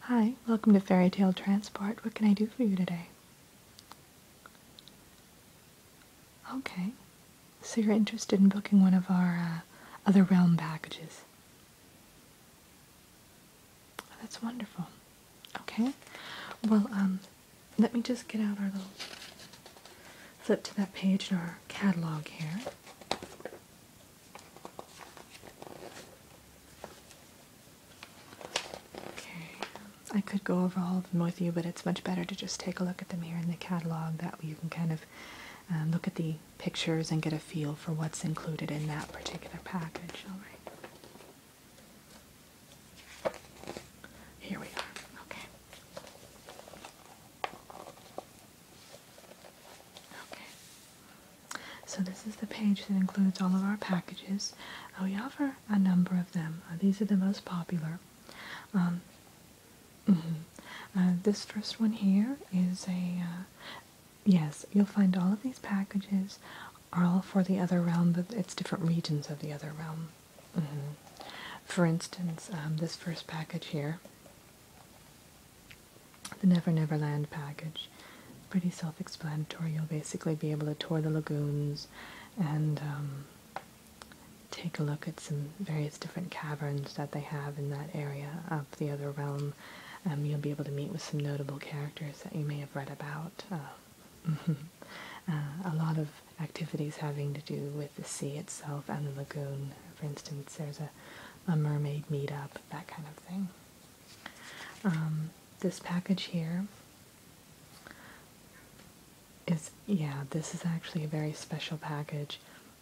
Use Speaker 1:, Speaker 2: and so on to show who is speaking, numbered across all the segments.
Speaker 1: Hi, welcome to Fairy Tale Transport. What can I do for you today? Okay, so you're interested in booking one of our uh, other realm packages. Oh, that's wonderful. Okay, well, um, let me just get out our little flip to that page in our catalog here. Okay, I could go over all of them with you, but it's much better to just take a look at the mirror in the catalog. That way you can kind of um, look at the pictures and get a feel for what's included in that particular package. All right. Here we are. Okay. Okay. So this is the page that includes all of our packages. Uh, we offer a number of them. Uh, these are the most popular. Um, mm -hmm. this first one here is a yes. You'll find all of these packages are all for the other realm, but it's different regions of the other realm. Mm-hmm. For instance, um, this first package here, the Never Never Land package, pretty self-explanatory. You'll basically be able to tour the lagoons and um, take a look at some various different caverns that they have in that area of the other realm. Um, you'll be able to meet with some notable characters that you may have read about. Uh, mm-hmm. Uh, a lot of activities having to do with the sea itself and the lagoon. For instance, there's a, a mermaid meetup, that kind of thing. Um, this package here is, yeah, this is actually a very special package.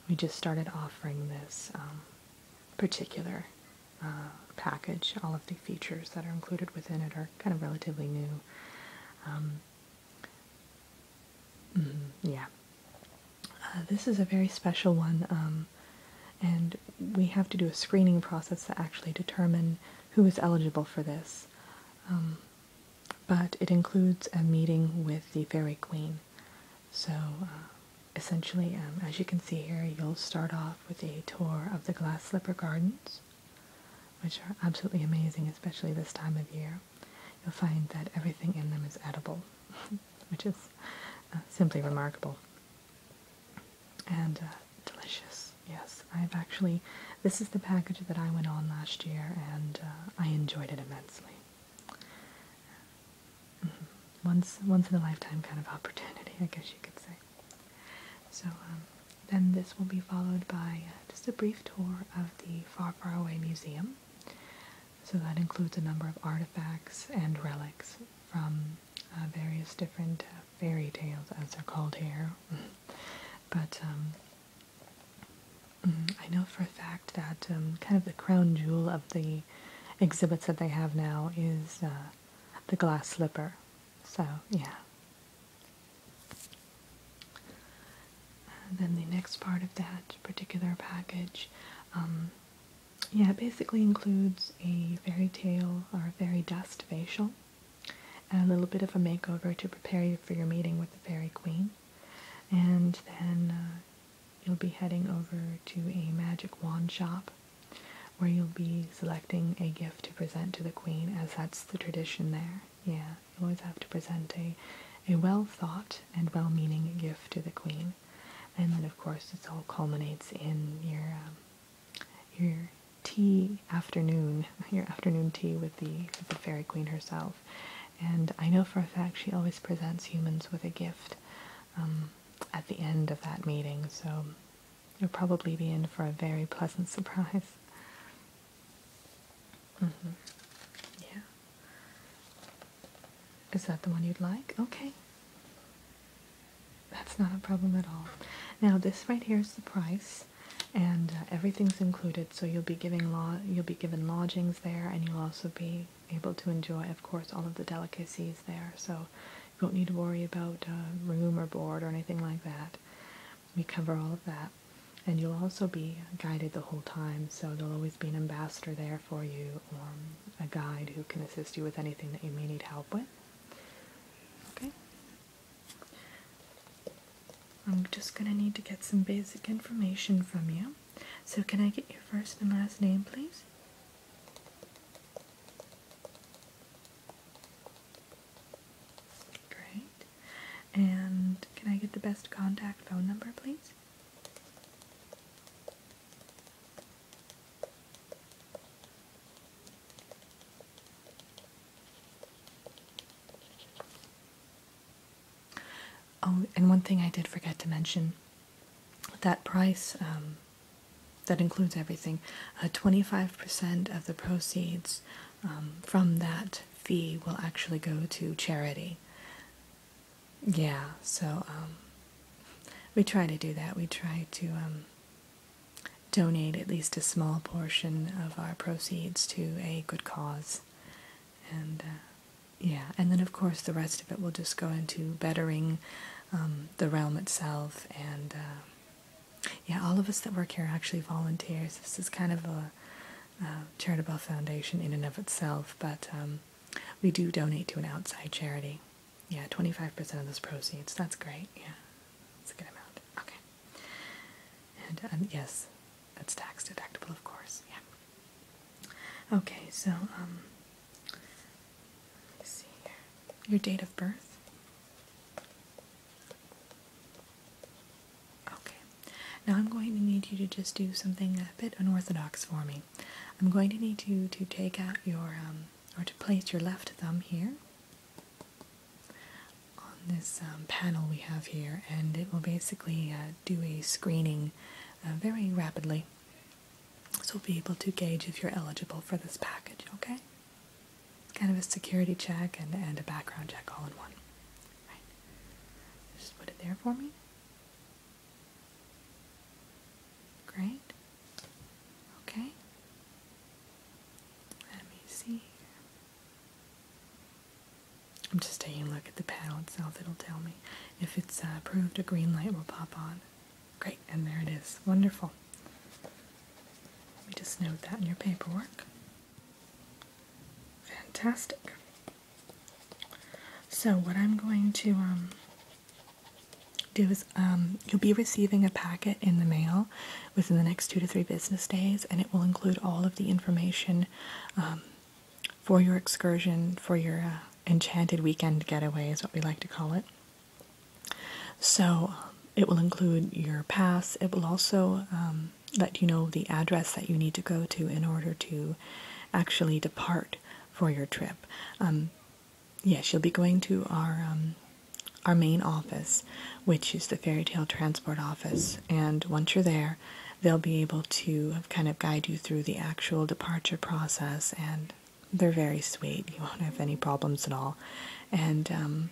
Speaker 1: We just started offering this um, particular uh, package. All of the features that are included within it are kind of relatively new. Um, Mm-hmm. yeah. Uh, this is a very special one, um, and we have to do a screening process to actually determine who is eligible for this. Um, but it includes a meeting with the Fairy Queen. So, uh, essentially, um, as you can see here, you'll start off with a tour of the Glass Slipper Gardens which are absolutely amazing, especially this time of year. You'll find that everything in them is edible, which is uh, simply remarkable and uh, delicious. Yes, I've actually, this is the package that I went on last year and uh, I enjoyed it immensely. Mm-hmm. Once, once in a lifetime kind of opportunity, I guess you could say. So, um, then this will be followed by uh, just a brief tour of the Far Far Away Museum. So that includes a number of artifacts and relics from uh, various different uh, fairy tales, as they're called here. but um, mm, I know for a fact that um, kind of the crown jewel of the exhibits that they have now is the glass slipper. So yeah, then the next part of that particular package, um, yeah, basically includes a fairy tale or a fairy dust facial and a little bit of a makeover to prepare you for your meeting with the fairy queen. And then uh, you'll be heading over to a magic wand shop where you'll be selecting a gift to present to the queen as that's the tradition there. Yeah, you always have to present a, a well-thought and well-meaning gift to the queen. And then, of course, this all culminates in your, um, your tea afternoon, your afternoon tea with the, the fairy queen herself. And I know for a fact she always presents humans with a gift um, at the end of that meeting, so you'll probably be in for a very pleasant surprise. Mm -hmm. Yeah. Is that the one you'd like? Okay. That's not a problem at all. Now this right here is the price, and uh, everything's included. So you'll be giving lo you'll be given lodgings there, and you'll also be able to enjoy, of course, all of the delicacies there. So you won't need to worry about uh, room or board or anything like that. We cover all of that. And you'll also be guided the whole time, so there'll always be an ambassador there for you or um, a guide who can assist you with anything that you may need help with. Okay? I'm just going to need to get some basic information from you. So, can I get your first and last name, please? Great. And can I get the best contact phone number, please? Oh, and one thing I did forget to mention that price um, that includes everything, 25% uh, of the proceeds um, from that fee will actually go to charity. Yeah, so um, we try to do that. We try to um, donate at least a small portion of our proceeds to a good cause. And uh, yeah, and then of course the rest of it will just go into bettering the realm itself and uh, yeah, all of us that work here are actually volunteers. This is kind of a charitable foundation in and of itself, but um, we do donate to an outside charity. Yeah, 25% of those proceeds. That's great. Yeah, that's a good amount. Okay. And yes, that's tax deductible, of course. Yeah. Okay, so um, let's see here. Your date of birth. Okay, now I'm going to need you to just do something a bit unorthodox for me. I'm going to need you to take out your, um, or to place your left thumb here on this um, panel we have here, and it will basically uh, do a screening uh, very rapidly. So we'll be able to gauge if you're eligible for this package, okay? kind of a security check and, and a background check all in one. Right. Just put it there for me. Great. Okay. Let me see. I'm just taking a look at the panel itself. It'll tell me if it's uh, approved. A green light will pop on. Great, and there it is. Wonderful. Let me just note that in your paperwork. Fantastic. So what I'm going to um, do is um, you'll be receiving a packet in the mail within the next two to three business days, and it will include all of the information um, for your excursion, for your uh, enchanted weekend getaway, is what we like to call it. So it will include your pass. It will also let you know the address that you need to go to in order to actually depart for your trip. Um, yes, you'll be going to our um, our main office, which is the Fairy Tale Transport Office, and once you're there, they'll be able to kind of guide you through the actual departure process. And they're very sweet; you won't have any problems at all. And um,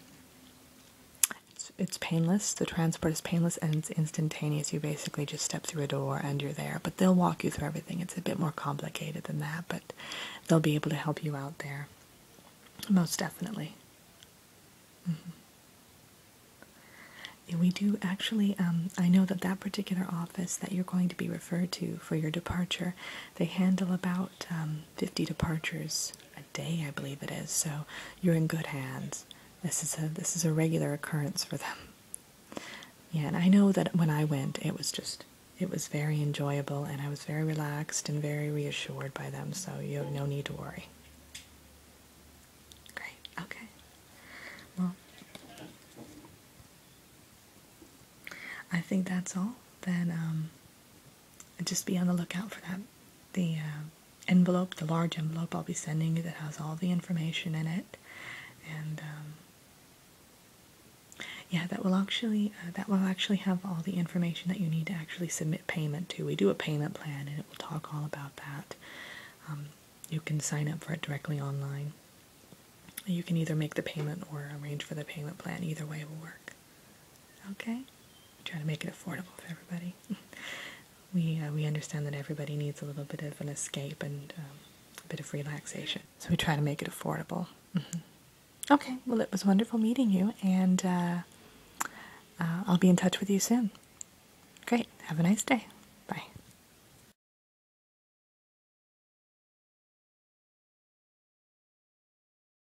Speaker 1: it's, painless. The transport is painless and it's instantaneous. You basically just step through a door and you're there. But they'll walk you through everything. It's a bit more complicated than that, but they'll be able to help you out there. Most definitely. Mm-hmm. we do actually, um, I know that that particular office that you're going to be referred to for your departure, they handle about um, 50 departures a day, I believe it is. So you're in good hands. This is a this is a regular occurrence for them. Yeah, and I know that when I went, it was just it was very enjoyable, and I was very relaxed and very reassured by them. So you have no need to worry. Great. Okay. Well, I think that's all. Then um, just be on the lookout for that. The uh, envelope, the large envelope I'll be sending you that has all the information in it. And um, yeah, that will actually uh, that will actually have all the information that you need to actually submit payment to. We do a payment plan, and it will talk all about that. Um, you can sign up for it directly online. You can either make the payment or arrange for the payment plan. Either way will work. Okay? try to make it affordable for everybody. we uh, we understand that everybody needs a little bit of an escape and um, a bit of relaxation, so we try to make it affordable. Mm-hmm. Okay, well, it was wonderful meeting you, and uh, uh, I'll be in touch with you soon. Great. Have a nice day. Bye.